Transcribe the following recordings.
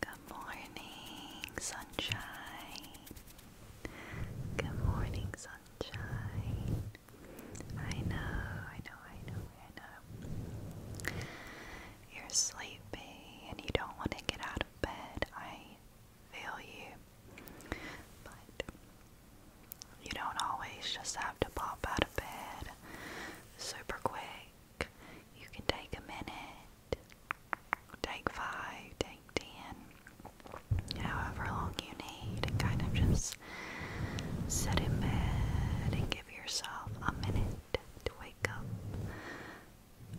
Good morning, sunshine. Good morning, sunshine. I know, I know, I know, I know. You're sleepy and you don't want to get out of bed. I feel you. But you don't always just have to pop out of bed super quick. You can take a minute, take five, take ten, however long you need, and kind of just sit in bed and give yourself a minute to wake up,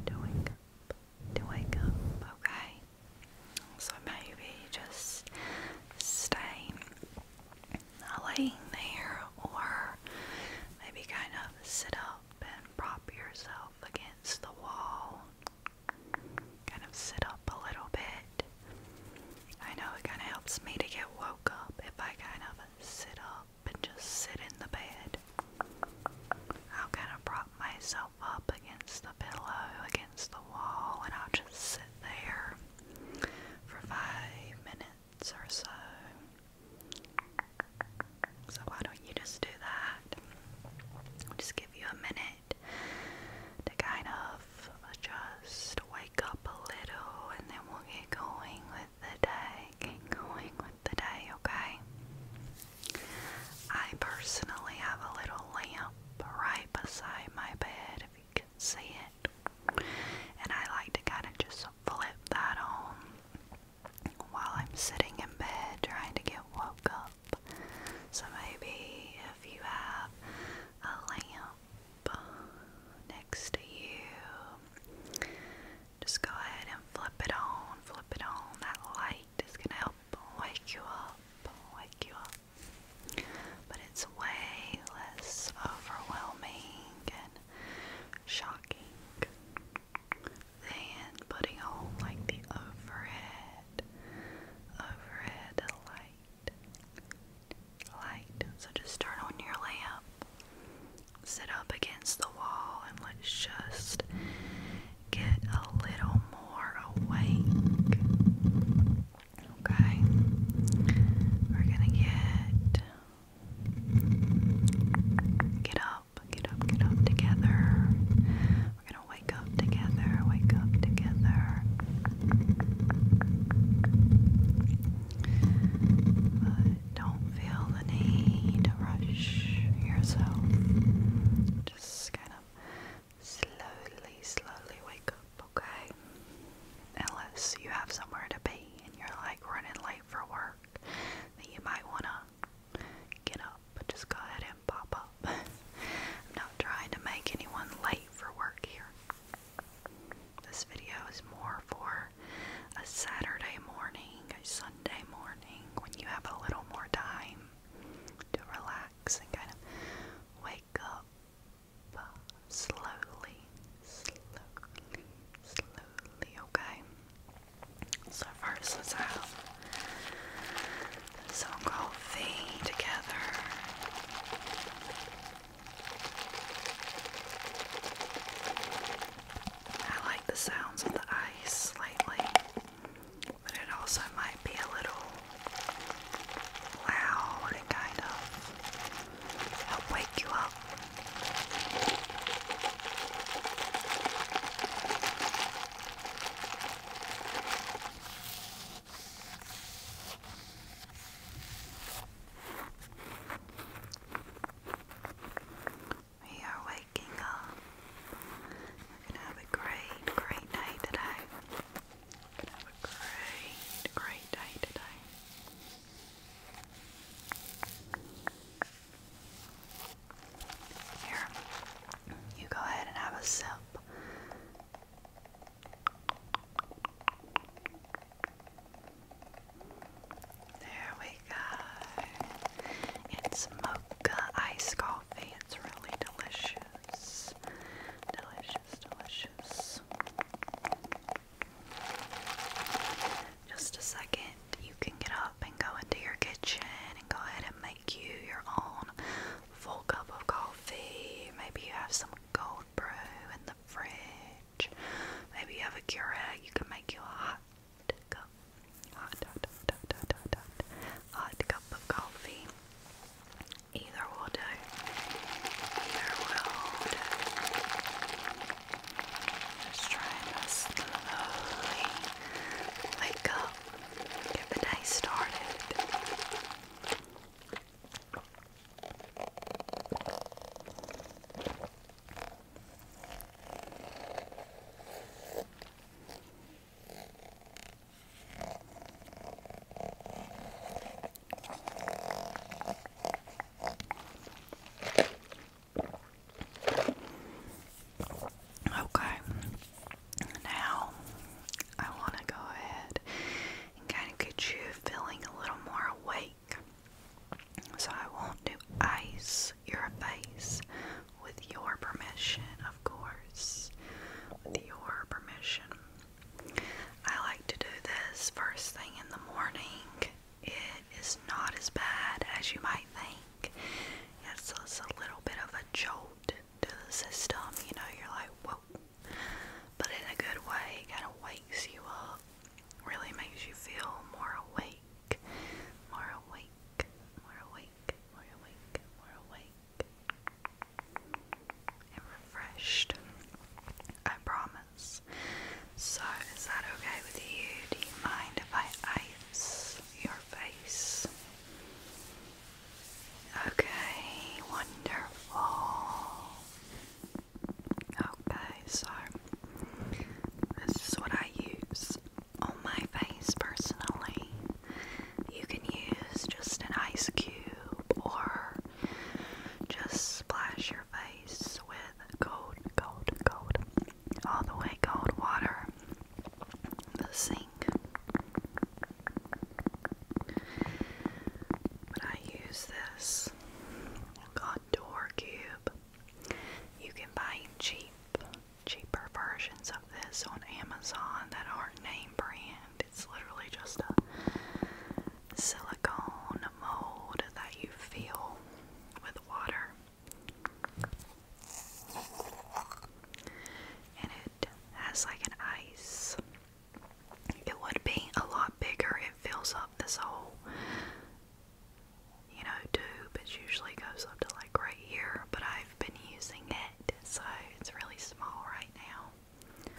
to wake up, to wake up, okay? So maybe just stay laying there, or maybe kind of sit up and prop yourself against the wall. Kind of sit up a little bit. I know it kind of helps me to get woke up if I kind of sit up and just sit in the bed. I'll kind of prop myself up against the pillow, against the wall, and I'll just sit there for five minutes minutes so. So, why don't you just do that? i just give you a minute to kind of adjust, wake up a little, and then we'll get going with the day. Get going with the day, okay? I personally have a little lamp right beside my bed see it. And I like to kind of just flip that on while I'm sitting in bed trying to get woke up. So maybe if you have a lamp next to you, just go ahead and flip it on, flip it on. That light is going to help wake you up, wake you up but it's way less overwhelming and shocking than putting on like the overhead, overhead light, light. So just turn on your lamp, sit up against the wall, and let's just get a little more awake. Okay. We're gonna get get up, get up, get up together. We're gonna wake up together, wake up together. But don't feel the need to rush yourself. Just kind of slowly, slowly wake up okay? Unless you have somewhere to be and you're like running late for work, then you might want to get up. But just go ahead and pop up. I'm not trying to make anyone late for work here. This video is more for a Saturday morning, a Sunday morning, when you have a little more time to relax and kind of wake up slowly, slowly, slowly, okay? So first let's have so-called together. I like the sounds of the ice lately, but it also might be a little loud and kind of I'll wake you up. We are waking up. We're gonna have a great, great night today. great, great day today. Here, you go ahead and have a sip. There we go. It's mocha ice coffee. It's really delicious. Delicious, delicious. Just a second, you can get up and go into your kitchen and go ahead and make you your own full cup of coffee. Maybe you have some cold brew in the fridge. Maybe you have a Keurig, you can make you a hot cup. Hot, hot, hot, hot, hot, hot, hot cup of coffee. Either will do your road. Just trying to slowly wake up, get the day started. Okay, now I want to go ahead and kind of get you feeling a little more awake. So I won't do ice your face with your permission, of course. With your permission. I like to do this first thing in the morning. It is not as bad as you might think. It's just a little bit of a jolt to the system, you know, you're like, whoa. But in a good way, it kind of wakes you up, really makes you feel more awake, more awake, more awake, more awake, more awake and refreshed. I promise. So, is that okay with you? Do you mind if I ice your face? Okay, wonderful. Okay, so this is what I use on my face personally. You can use just an ice cube or just splash your face with cold, cold, cold, all the way cold water. The sink. But I use this contour cube. You can buy cheap, cheaper versions of this on Amazon that aren't name brand. It's literally just a silicone mold that you feel with water. And it has like an ice. It would be a lot bigger. It fills up this whole, you know, tube. It usually goes up to like right here, but I've been using it, so it's really small right now.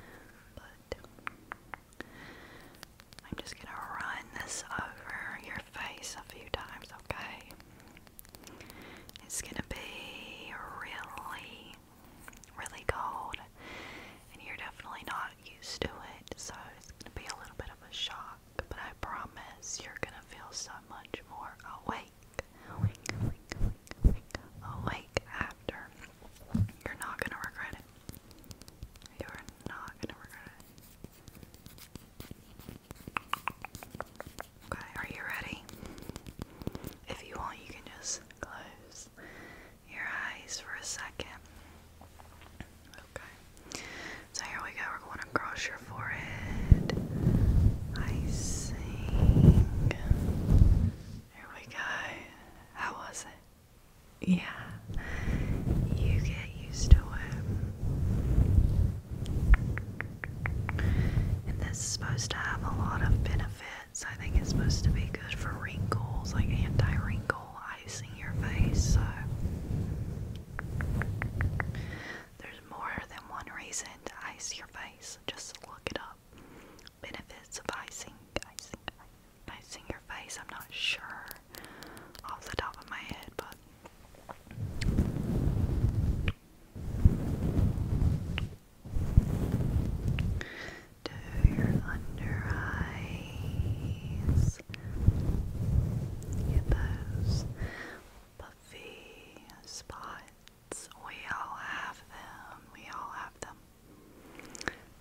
But I'm just going to run this over your face a few times, okay? It's going to be really, really cold, and you're definitely not used to it, so it's going to be a little bit of a shock, but I promise you're going to feel so much more awake. Awake, awake, awake, after. You're not going to regret it. You are not gonna regret it. Okay, are you ready? If you want, you can just close your eyes for a second. Okay. So here we go. We're going across your forehead. I sing. Here we go. How was it? yeah, you get used to it. And this is supposed to have a lot of benefits. I think it's supposed to be good for wrinkles, like anti wrinkle icing your face. So, there's more than one reason to ice your face. Just look it up. Benefits of icing, icing, icing. I sing your face. I'm not sure off the top of my head, but. Do your under eyes get those puffy spots? We all have them. We all have them.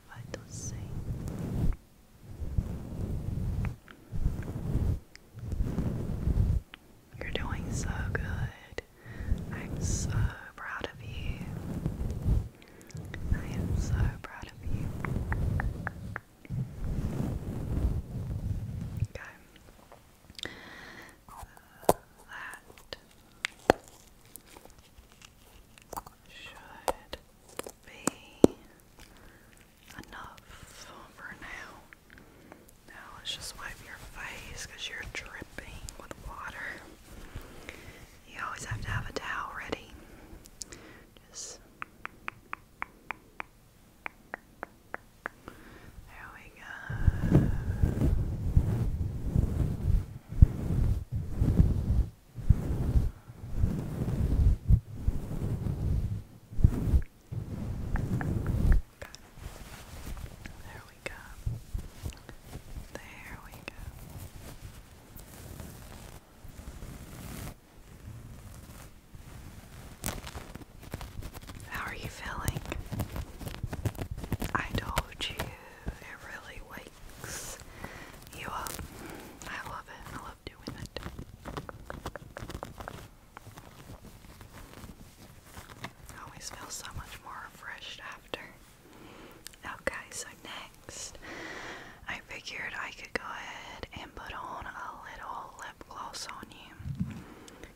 Vai tossir. You're doing so good. I'm so proud of you. I am so proud of you. Okay. So should be enough for now. Now let's just wipe your face you're dripping with water. You always have to have a towel ready. Just there we go. There we go. There we go. How are you feeling? I told you it really you up. Uh, I love it. I love doing it. I always feel so much more refreshed after. Okay, so next, I figured I could go ahead and put on a little lip gloss on you.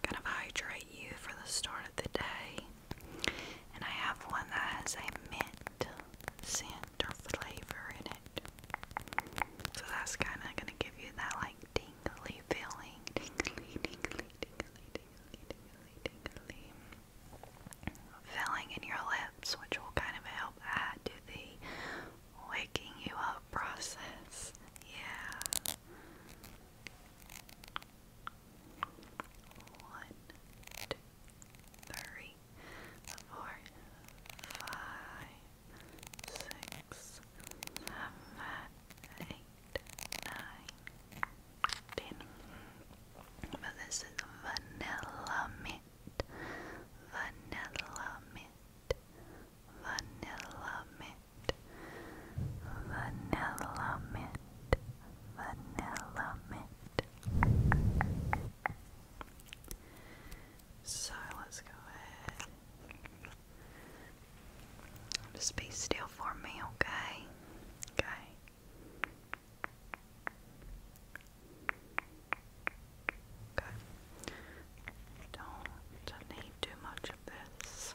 Kind of hydrate you for the start of the day. And I have one that has a mint scent or flavor in it. So that's kind of going to give you that like tingly feeling. Feeling in your lips, which will kind of help add to the waking you up process. Yeah. One, two, three, four, five, six, seven, eight, nine, ten. But this is vanilla mint, vanilla mint, vanilla mint, vanilla mint, vanilla mint. Vanilla mint, so let's go ahead. Just be still for me, okay? Okay. Don't need too much of this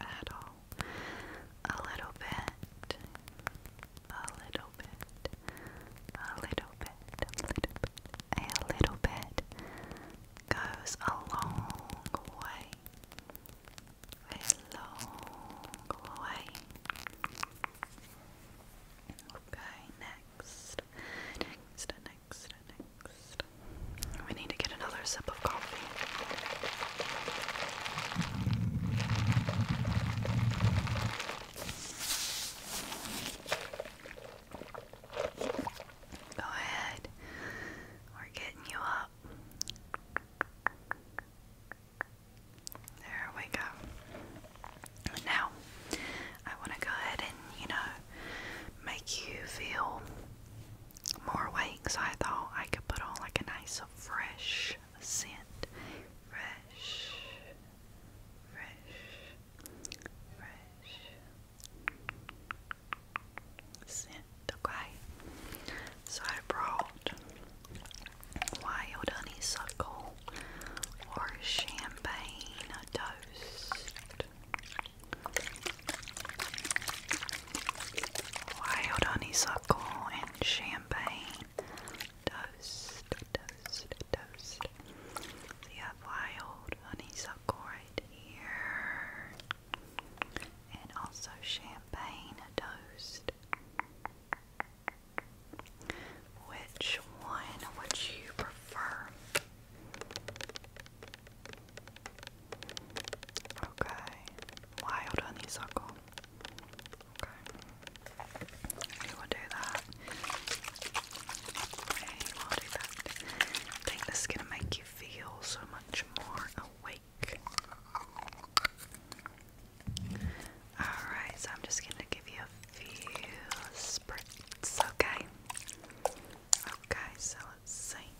at all. A little bit a little bit, a little bit, a little bit, a little bit goes a long way, a long way. Okay, next, next, next, next. We need to get another sip of coffee. Go ahead. We're getting you up. There we go. Now, I want to go ahead and, you know, make you feel more awake. So I thought I could put on like a nice, fresh fresh scent. Fresh, fresh, fresh scent. Okay. So I brought wild honeysuckle or champagne toast. Wild honeysuckle and champagne toast, toast, toast. So wild honeysuckle right here, and also champagne toast. Which one would you prefer? Okay, wild honeysuckle. Okay. You will do that. Yeah, you will do that. I this is gonna make you feel so much more awake. Alright, so I'm just gonna give you a few spritz, okay? Okay, so let's see.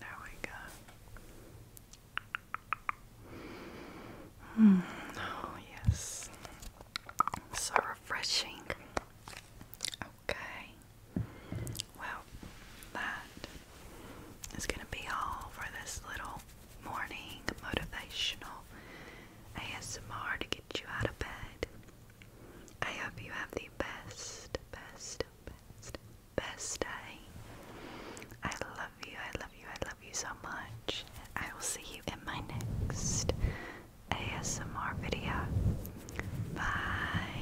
There we go. Hmm. Oh, yes. So refreshing. Okay. Well, that is going to be all for this little morning motivational ASMR to get you out of bed. I hope you have the best, best, best, best day. I love you, I love you, I love you so much. I will see you in my next ASMR video. Bye.